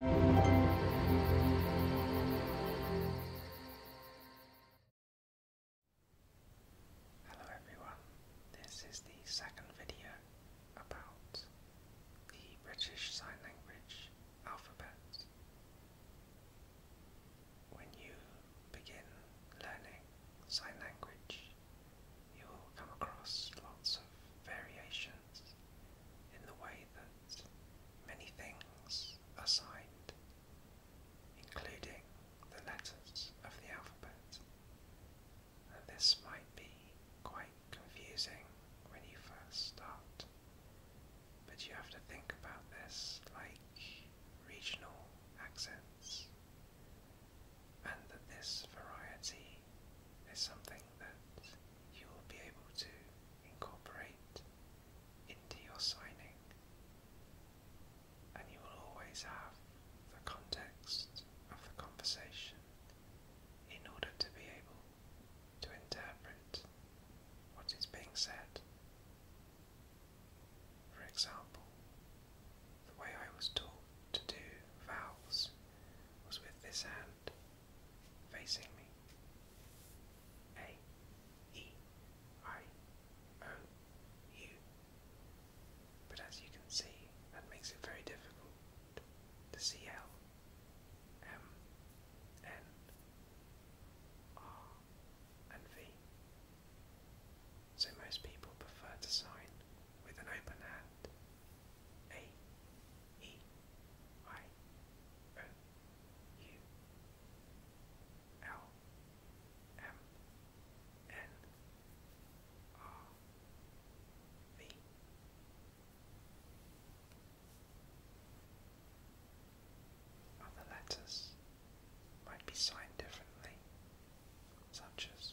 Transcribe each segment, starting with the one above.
Hello everyone, this is the second video about the British Sign Language alphabet. When you begin learning sign language, you will come across lots of variations in the way way that many things are signed, including the letters of the alphabet. And this might be quite confusing when you first start, but you have to think about this like regional accents, and that this variety is something that you will be able to incorporate into your signing, and you will always have the context of the conversation in order to be able to interpret what is being said. For example, the way I was taught to do vowels was with this hand facing me. A E I O U. But as you can see, that makes it very difficult to see L M N R and V. So most people prefer to sign with an open hand a E I O U L M N R V Other letters might be signed differently, such as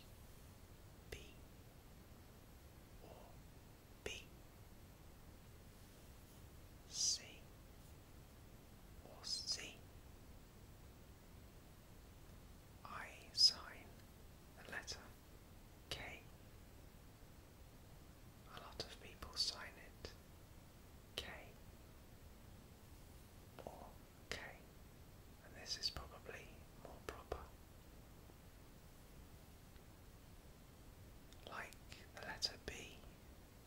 B or B, C or C. I sign the letter K. A lot of people sign it K Okay, and this is probably more proper. Like the letter B,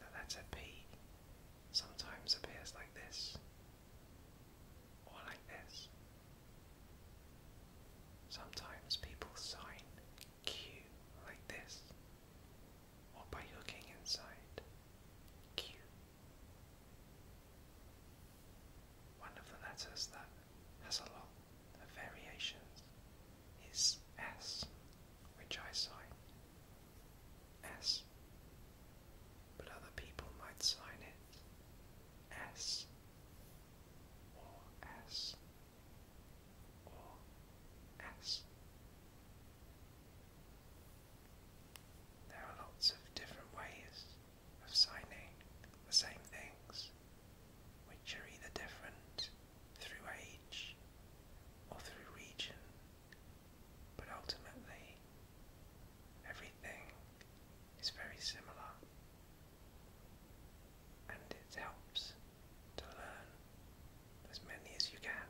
the letter P sometimes appears like this, or like this. Sometimes people sign Q like this, or by looking inside Q. One of the letters that has a lot of variations is S, which I sign S, but other people might sign it S or S or S. There are lots of different ways of signing the same things, which are either different through age or through region, but ultimately everything is very similar and it helps to learn as many as you can.